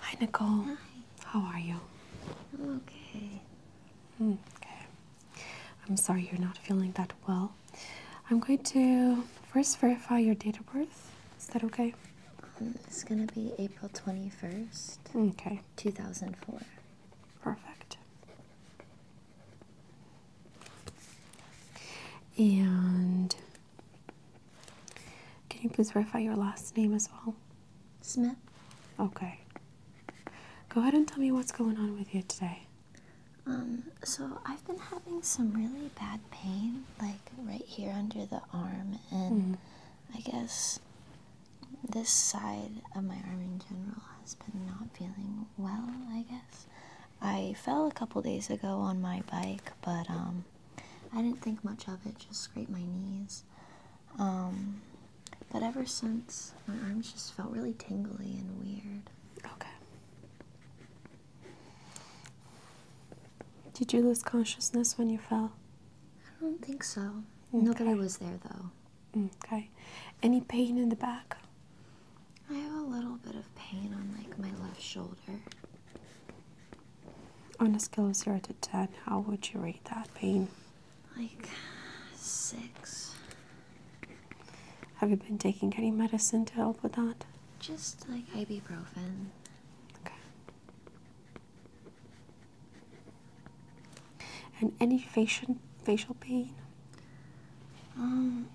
Hi, Nicole. Hi. How are you? I'm okay. Mm, okay. I'm sorry you're not feeling that well. I'm going to first verify your date of birth. Is that okay? Um, it's gonna be April 21st. Hmm, okay. 2004. Perfect. And can you please verify your last name as well? Smith. Okay. Go ahead and tell me what's going on with you today. Um, so I've been having some really bad pain, like right here under the arm, and mm-hmm. I guess this side of my arm in general has been not feeling well, I guess. I fell a couple days ago on my bike, but um, I didn't think much of it, just scraped my knees. Um, but ever since, my arms just felt really tingly and weird. Okay. Did you lose consciousness when you fell? I don't think so. Okay. Nobody was there though. Okay. Any pain in the back? I have a little bit of pain on like my left shoulder. On a scale of 0 to 10, how would you rate that pain? Like 6. Have you been taking any medicine to help with that? Just like ibuprofen. Okay. And any facial facial pain? Um,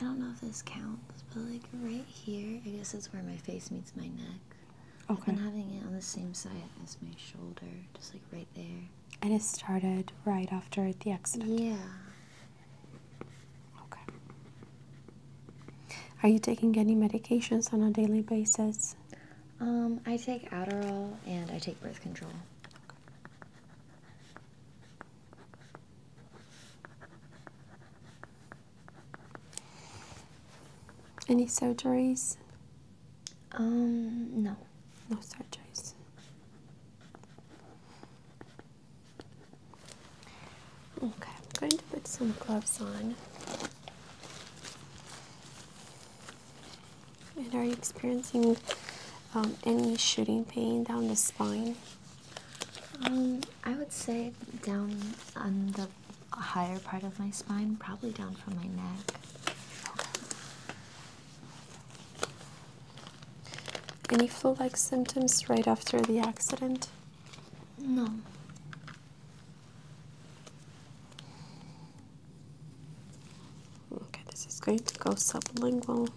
I don't know if this counts, but like right here, I guess that's where my face meets my neck neck. Okay. And having it on the same side as my shoulder, just like right there. And it started right after the accident? Yeah. Okay. Are you taking any medications on a daily basis? Um, I take Adderall and I take birth control. Any surgeries? Um, no. No surgeries. Okay, I'm going to put some gloves on. And are you experiencing um, any shooting pain down the spine? Um, I would say down on the a higher part of my spine, probably down from my neck. Any flu like symptoms right after the accident? No. Okay, this is going to go sublingual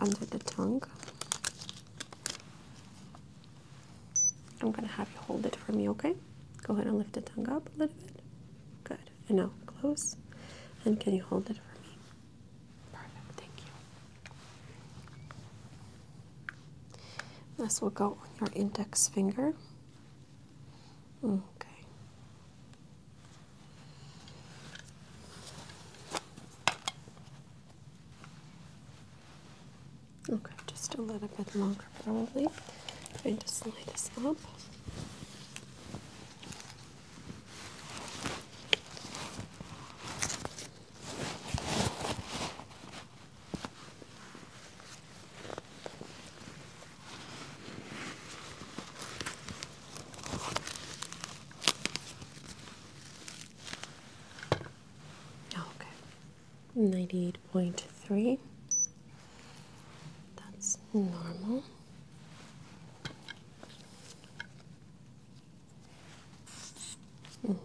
under the tongue. I'm going to have you hold it for me, okay? Go ahead and lift the tongue up a little bit. Good. And now close. And can you hold it for me? Perfect. Thank you. This will go on your index finger. Okay. Okay, just a little bit longer probably. I'm going to slide this up. Oh, okay. Ninety-eight point three. That's normal. Okay.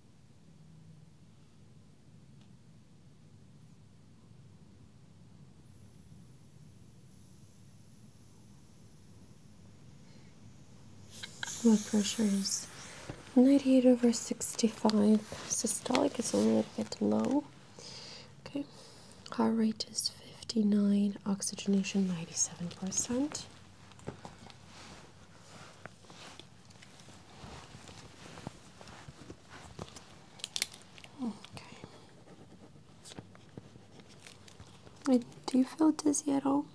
Blood pressure is 98 over 65. Systolic It's a little bit low. Okay. Heart rate is 59. Oxygenation 97%. Okay. Do you feel dizzy at all?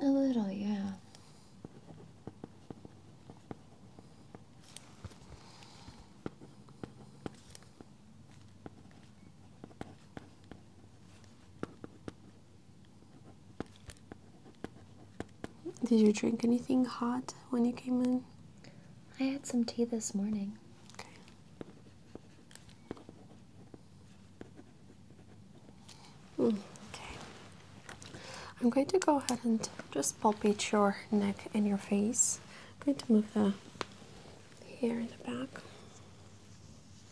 A little, yeah. Did you drink anything hot when you came in? I had some tea this morning. Okay. Mm, okay. I'm going to go ahead and just palpate your neck and your face. I'm going to move the hair in the back.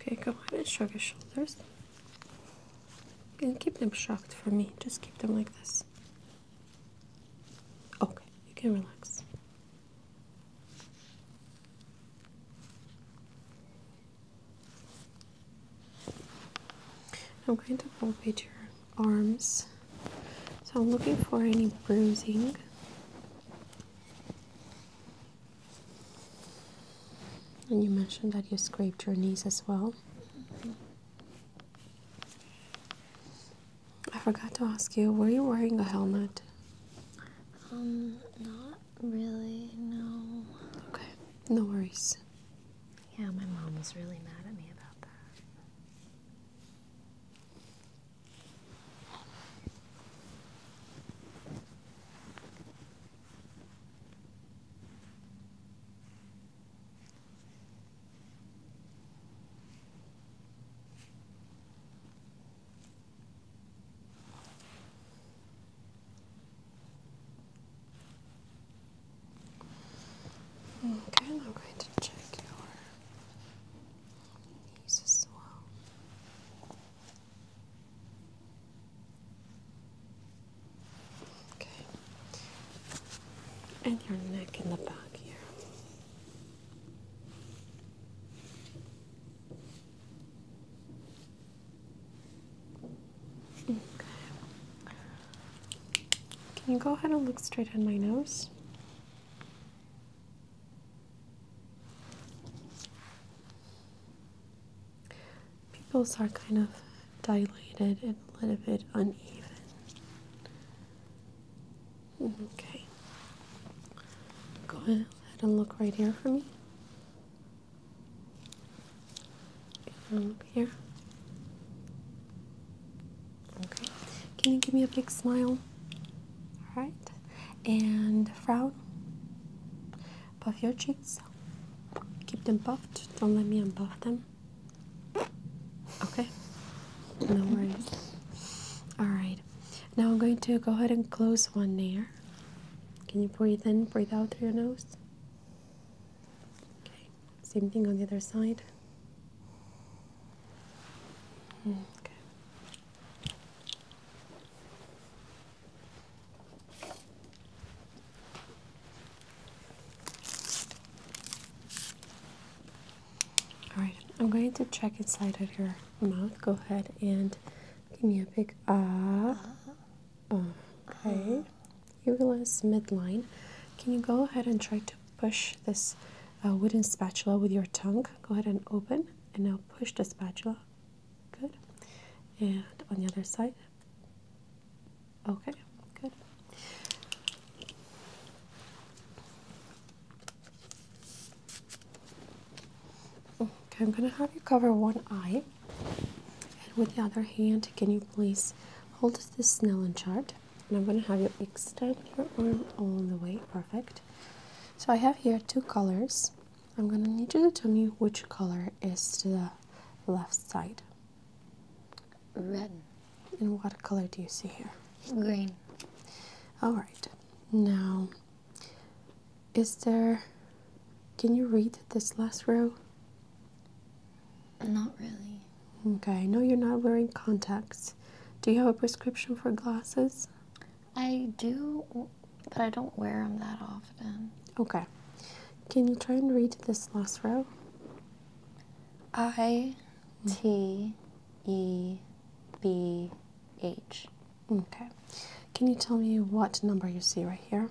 Okay, go ahead and shrug your shoulders. And keep them shocked for me. Just keep them like this. Okay, you can relax. I'm going to palpate your arms. So I'm looking for any bruising. And you mentioned that you scraped your knees as well. I forgot to ask you, were you wearing a helmet? Um, not really, no. Okay, no worries. Yeah, my mom was really mad at me about that. Okay, I'm going to check your knees as well. Okay. And your neck in the back here. Okay. Can you go ahead and look straight at my nose? Pupils are kind of dilated and a little bit uneven. Okay. Go ahead and look right here for me. Um, here. Okay. Can you give me a big smile? Alright. And frown. Puff your cheeks. Keep them puffed. Don't let me unpuff them. Okay? No worries. Alright. Now I'm going to go ahead and close one ear. Can you breathe in, breathe out through your nose? Okay. Same thing on the other side. Mm, okay. All right, I'm going to check inside of your mouth. Go ahead and give me a big ah. okay, uh-huh. you realize midline. Can you go ahead and try to push this uh, wooden spatula with your tongue? Go ahead and open, and now push the spatula Good. And on the other side. Okay, good. Okay, I'm going to have you cover one eye. And with the other hand, can you please hold this Snellen chart? And I'm going to have you extend your arm all the way. Perfect. So I have here two colors I'm going to need you to tell me which color is to the left side. Red. And what color do you see here? Green. All right. Now, is there. Can you read this last row? Not really. Okay, I know you're not wearing contacts. Do you have a prescription for glasses? I do, but I don't wear them that often. Okay. Can you try and read this last row? I T E B H. Okay. Can you tell me what number you see right here?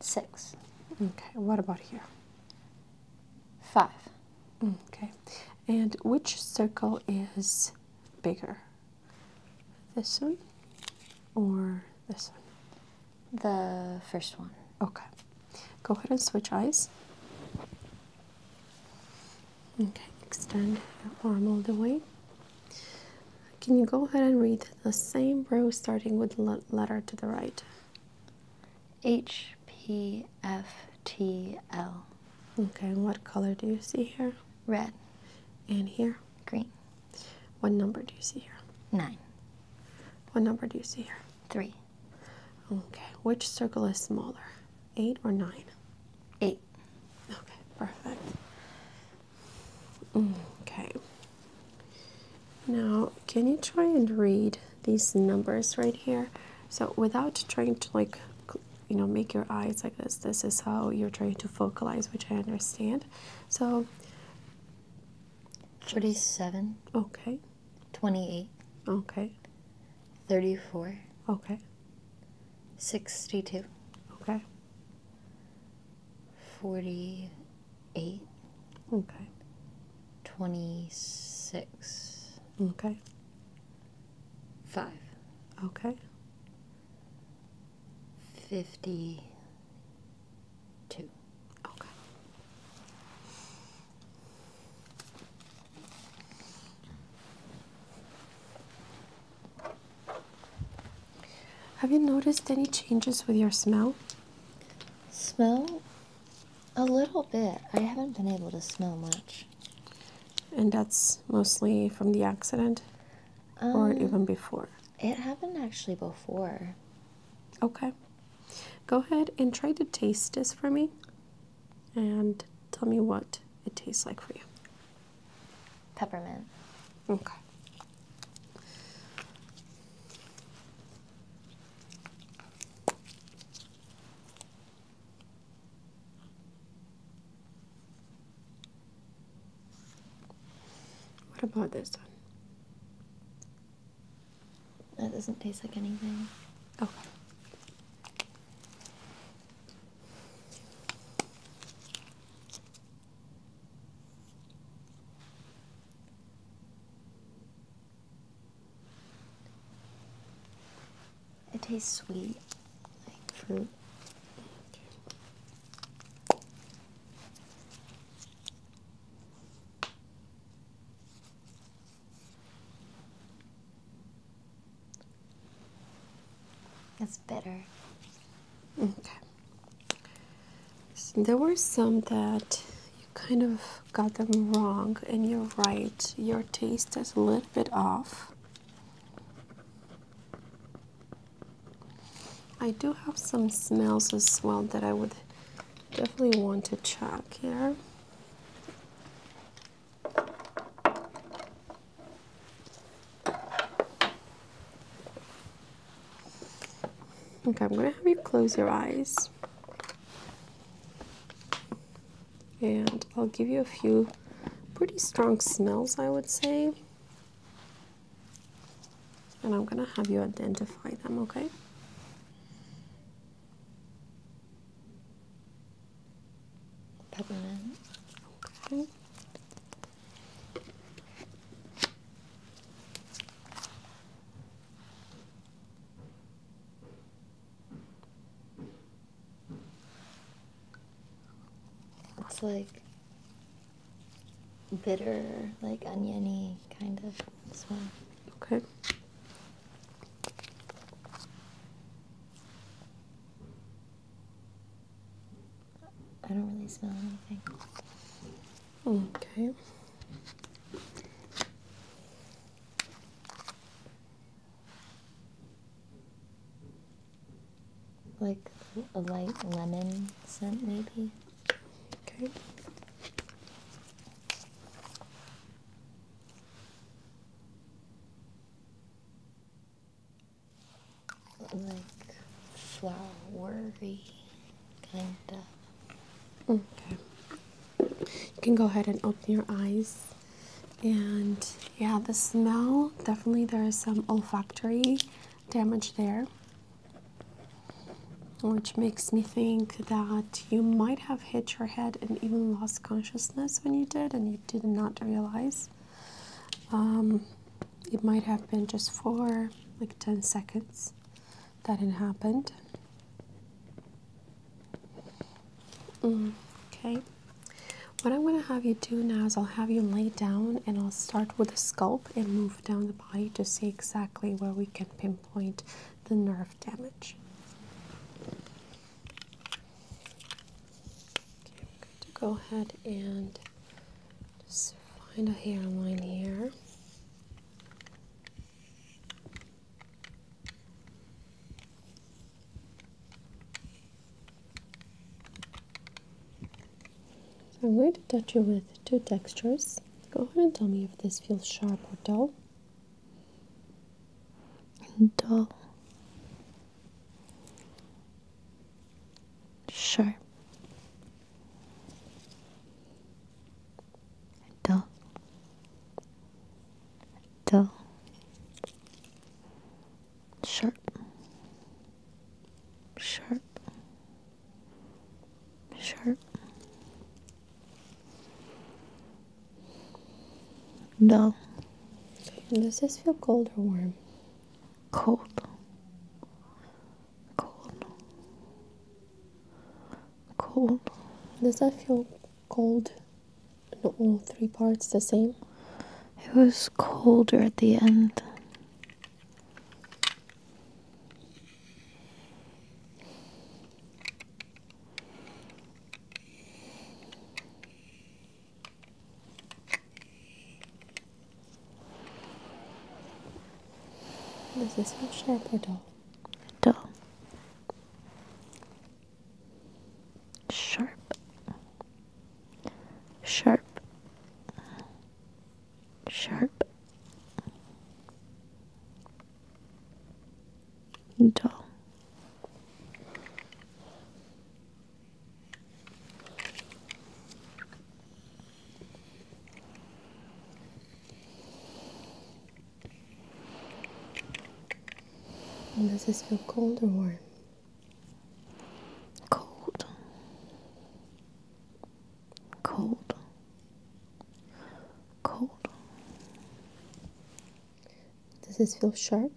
Six. Okay. What about here? Five. Okay. And which circle is bigger? This one or this one? The first one. Okay. Go ahead and switch eyes. Okay, extend your arm all the way. Can you go ahead and read the same row starting with le letter to the right? H P F T L. Okay, what color do you see here? Red. And here? Green. What number do you see here? Nine. What number do you see here? Three. Okay, which circle is smaller? Eight or nine? Eight. Okay, perfect. Okay. Now, can you try and read these numbers right here? So without trying to like you know make your eyes like this this is how you're trying to focalize which i understand so 47 okay 28 okay 34 okay 62 okay 48 okay 26 okay 5 okay 52. Okay. Have you noticed any changes with your smell? Smell? A little bit. I haven't been able to smell much and that's mostly from the accident or um, even before it happened actually before okay go ahead and try to taste this for me and tell me what it tastes like for you peppermint okay what about this one? That doesn't taste like anything. Okay. Oh. It tastes sweet, like fruit. It's bitter. Okay. there were some that you kind of got them wrong, and you're right. Your taste is a little bit off. I do have some smells as well that I would definitely want to check here. Okay, I'm gonna have you close your eyes and I'll give you a few pretty strong smells, I would say. And I'm going to have you identify them, okay? Peppermint. Okay. It's like bitter, like oniony kind of smell. Okay. I don't really smell anything. Okay. Like a light lemon scent, maybe. Okay. Like flowery, kinda. Okay. You can go ahead and open your eyes. And yeah, the smell definitely there is some olfactory damage there, which makes me think that you might have hit your head and even lost consciousness when you did, and you did not realize. Um, it might have been just for like 10 seconds that it happened okay. What I'm going to have you do now is I'll have you lay down and I'll start with the scalp and move down the body to see exactly where we can pinpoint the nerve damage. Okay, I'm going to go ahead and just find a hairline here. So I'm going to touch you with two textures. Go ahead and tell me if this feels sharp or dull. Dull. Sharp. Dull dull, sharp, sharp, sharp, dull. does this feel cold or warm? Cold. Cold. Cold. Does that feel cold? And all three parts the same? It was colder at the end. this one sharp or dull? Dull sharp sharp sharp dull and does this feel cold or warm? Cold. Cold. Cold. Does this feel sharp?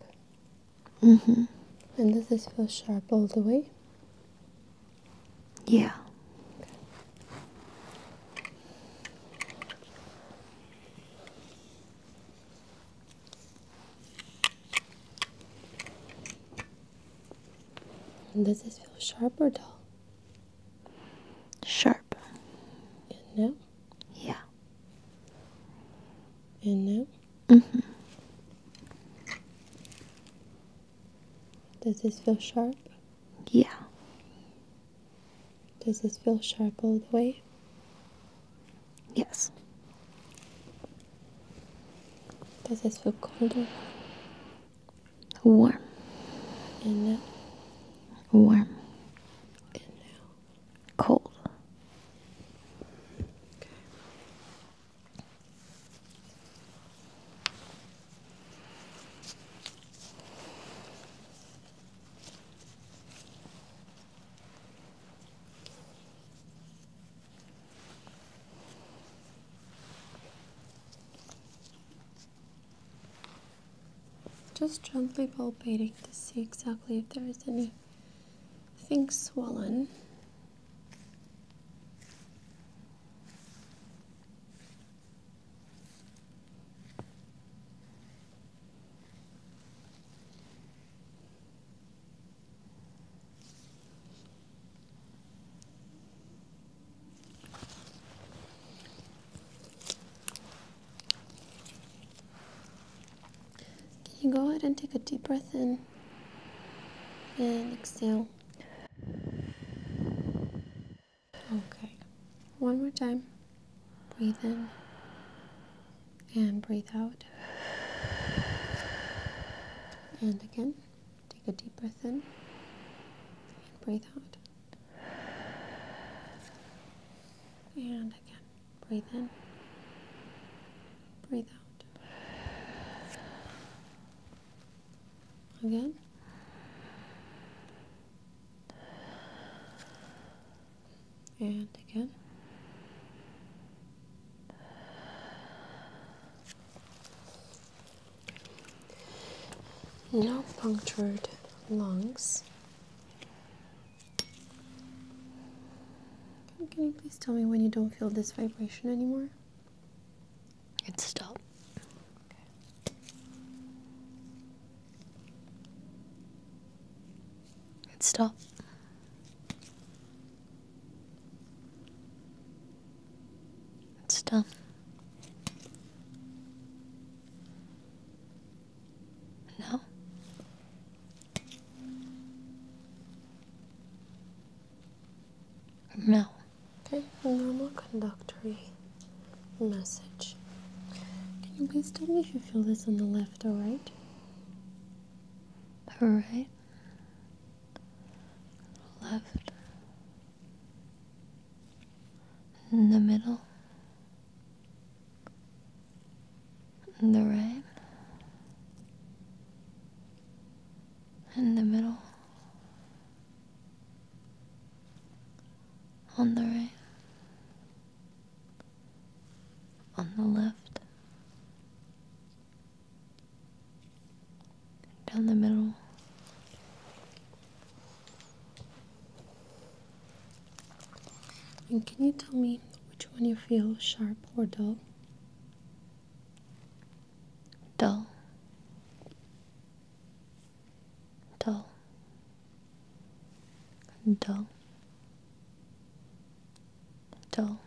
Mm-hmm. And does this feel sharp all the way? Yeah. Does this feel sharp or dull? Sharp. And now? Yeah. And now? hmm. Does this feel sharp? Yeah. Does this feel sharp all the way? Yes. Does this feel colder? warm? And now? Warm. And now? Cold. Just gently palpating to see exactly if there is anything swollen. Can you go ahead and take a deep breath in and exhale? Okay, one more time. Breathe in and breathe out. And again, take a deep breath in and breathe out. And again, breathe in, breathe out. Again and again. No punctured lungs. Can you please tell me when you don't feel this vibration anymore? It stopped. And stop. And stop. No. No. Okay, normal conductory message. Can you please tell me if you feel this on the left, alright? Alright. Left. In the middle. In the right. In the middle. On the right on the left, down the middle. And can you tell me which one you feel sharp or dull? Dull dull, dull, dull,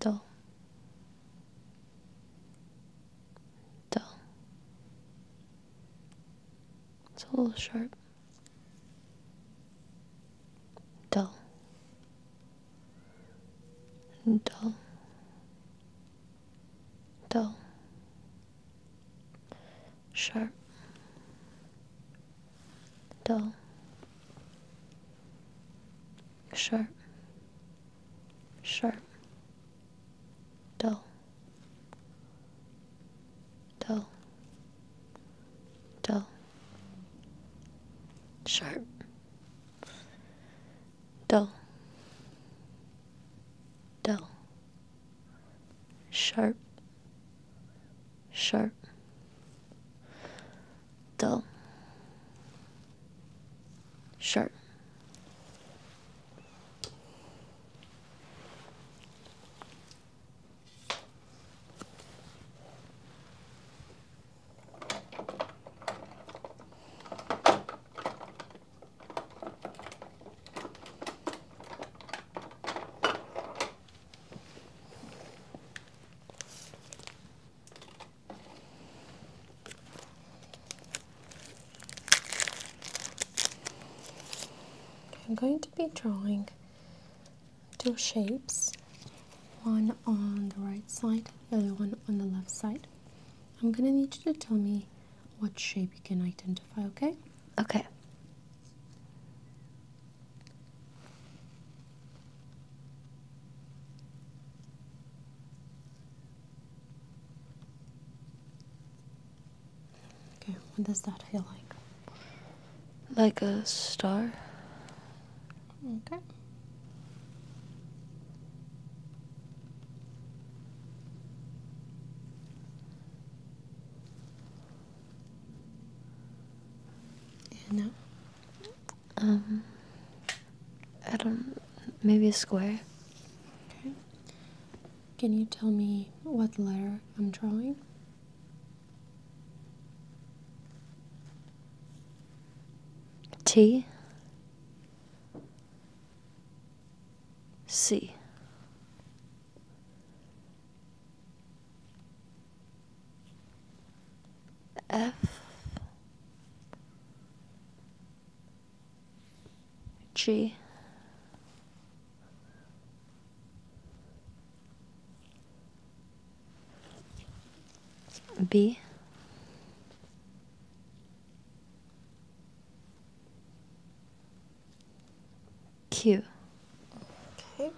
dull, dull. It's a little sharp. Dull, dull, dull, sharp, dull, sharp, sharp, dull, dull, dull, sharp, dull, dull sharp, sharp, dull, sharp. I'm going to be drawing two shapes, one on the right side, the other one on the left side. I'm gonna need you to tell me what shape you can identify, okay? Okay. Okay, what does that feel like? Like a star. Okay. You know? Um, I don't, maybe a square. Okay. Can you tell me what letter I'm drawing? T. C. F G B Q. Okay.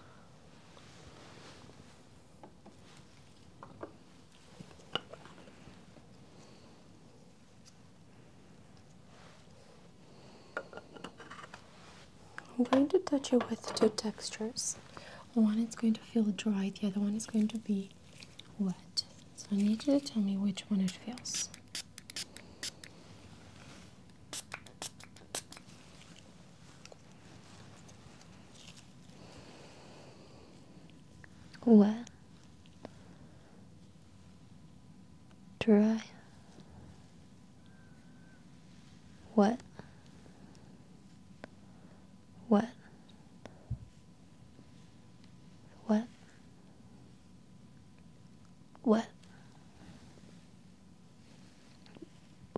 I'm going to touch it with two textures. One is going to feel dry, the other one is going to be what? So I need you to tell me which one it feels. What? dry, What? wet, what? What?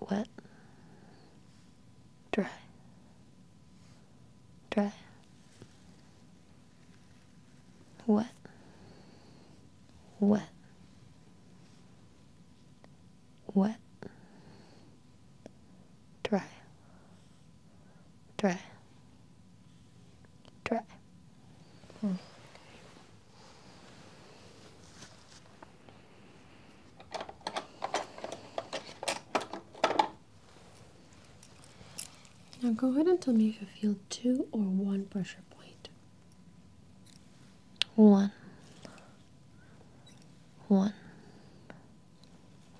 What? Dry. Dry. What? What? What? Dry dry, dry. Hmm. Now go ahead and tell me if you feel two or one pressure point. One. One.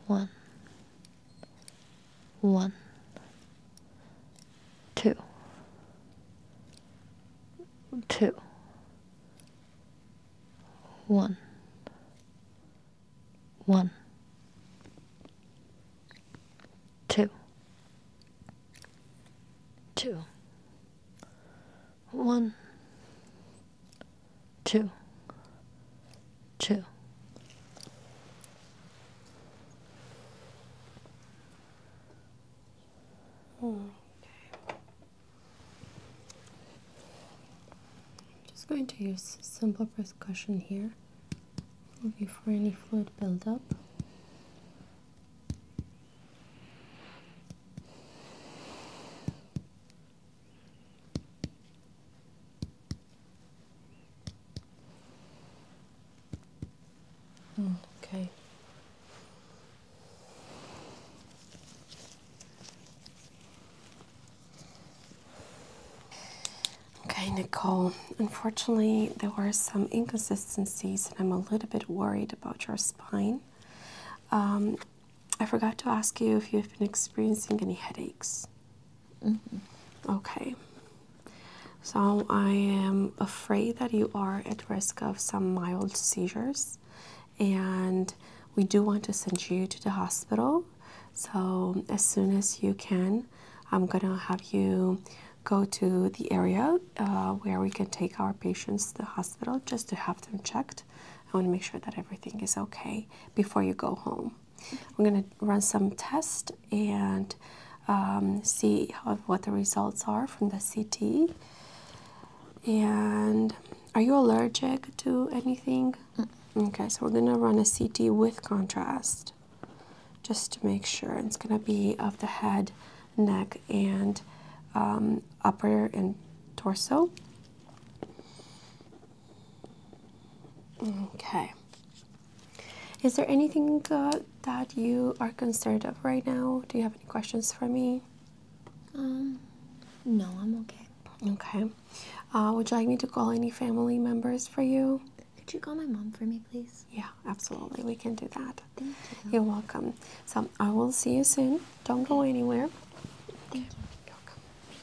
One one, two, two, one, one, two, two, one, two, two. Okay. just going to use simple percussion here, looking for any fluid buildup okay. Okay, Nicole, unfortunately, there were some inconsistencies, and I'm a little bit worried about your spine. Um, I forgot to ask you if you've been experiencing any headaches. Mm -hmm. Okay. So I am afraid that you are at risk of some mild seizures, and we do want to send you to the hospital. So as soon as you can, I'm gonna have you go to the area uh, where we can take our patients to the hospital just to have them checked. I want to make sure that everything is okay before you go home. I'm going to run some tests and um, see what the results are from the CT. And are you allergic to anything? Okay, so we're going to run a CT with contrast just to make sure. It's going to be of the head, neck, and um, upper and torso. Okay. Is there anything uh, that you are concerned of right now? Do you have any questions for me? Um, no, I'm okay. Okay. Uh, would you like me to call any family members for you? Could you call my mom for me, please? Yeah, absolutely. We can do that. Thank you. You're welcome. So I will see you soon. Don't go anywhere. Thank you.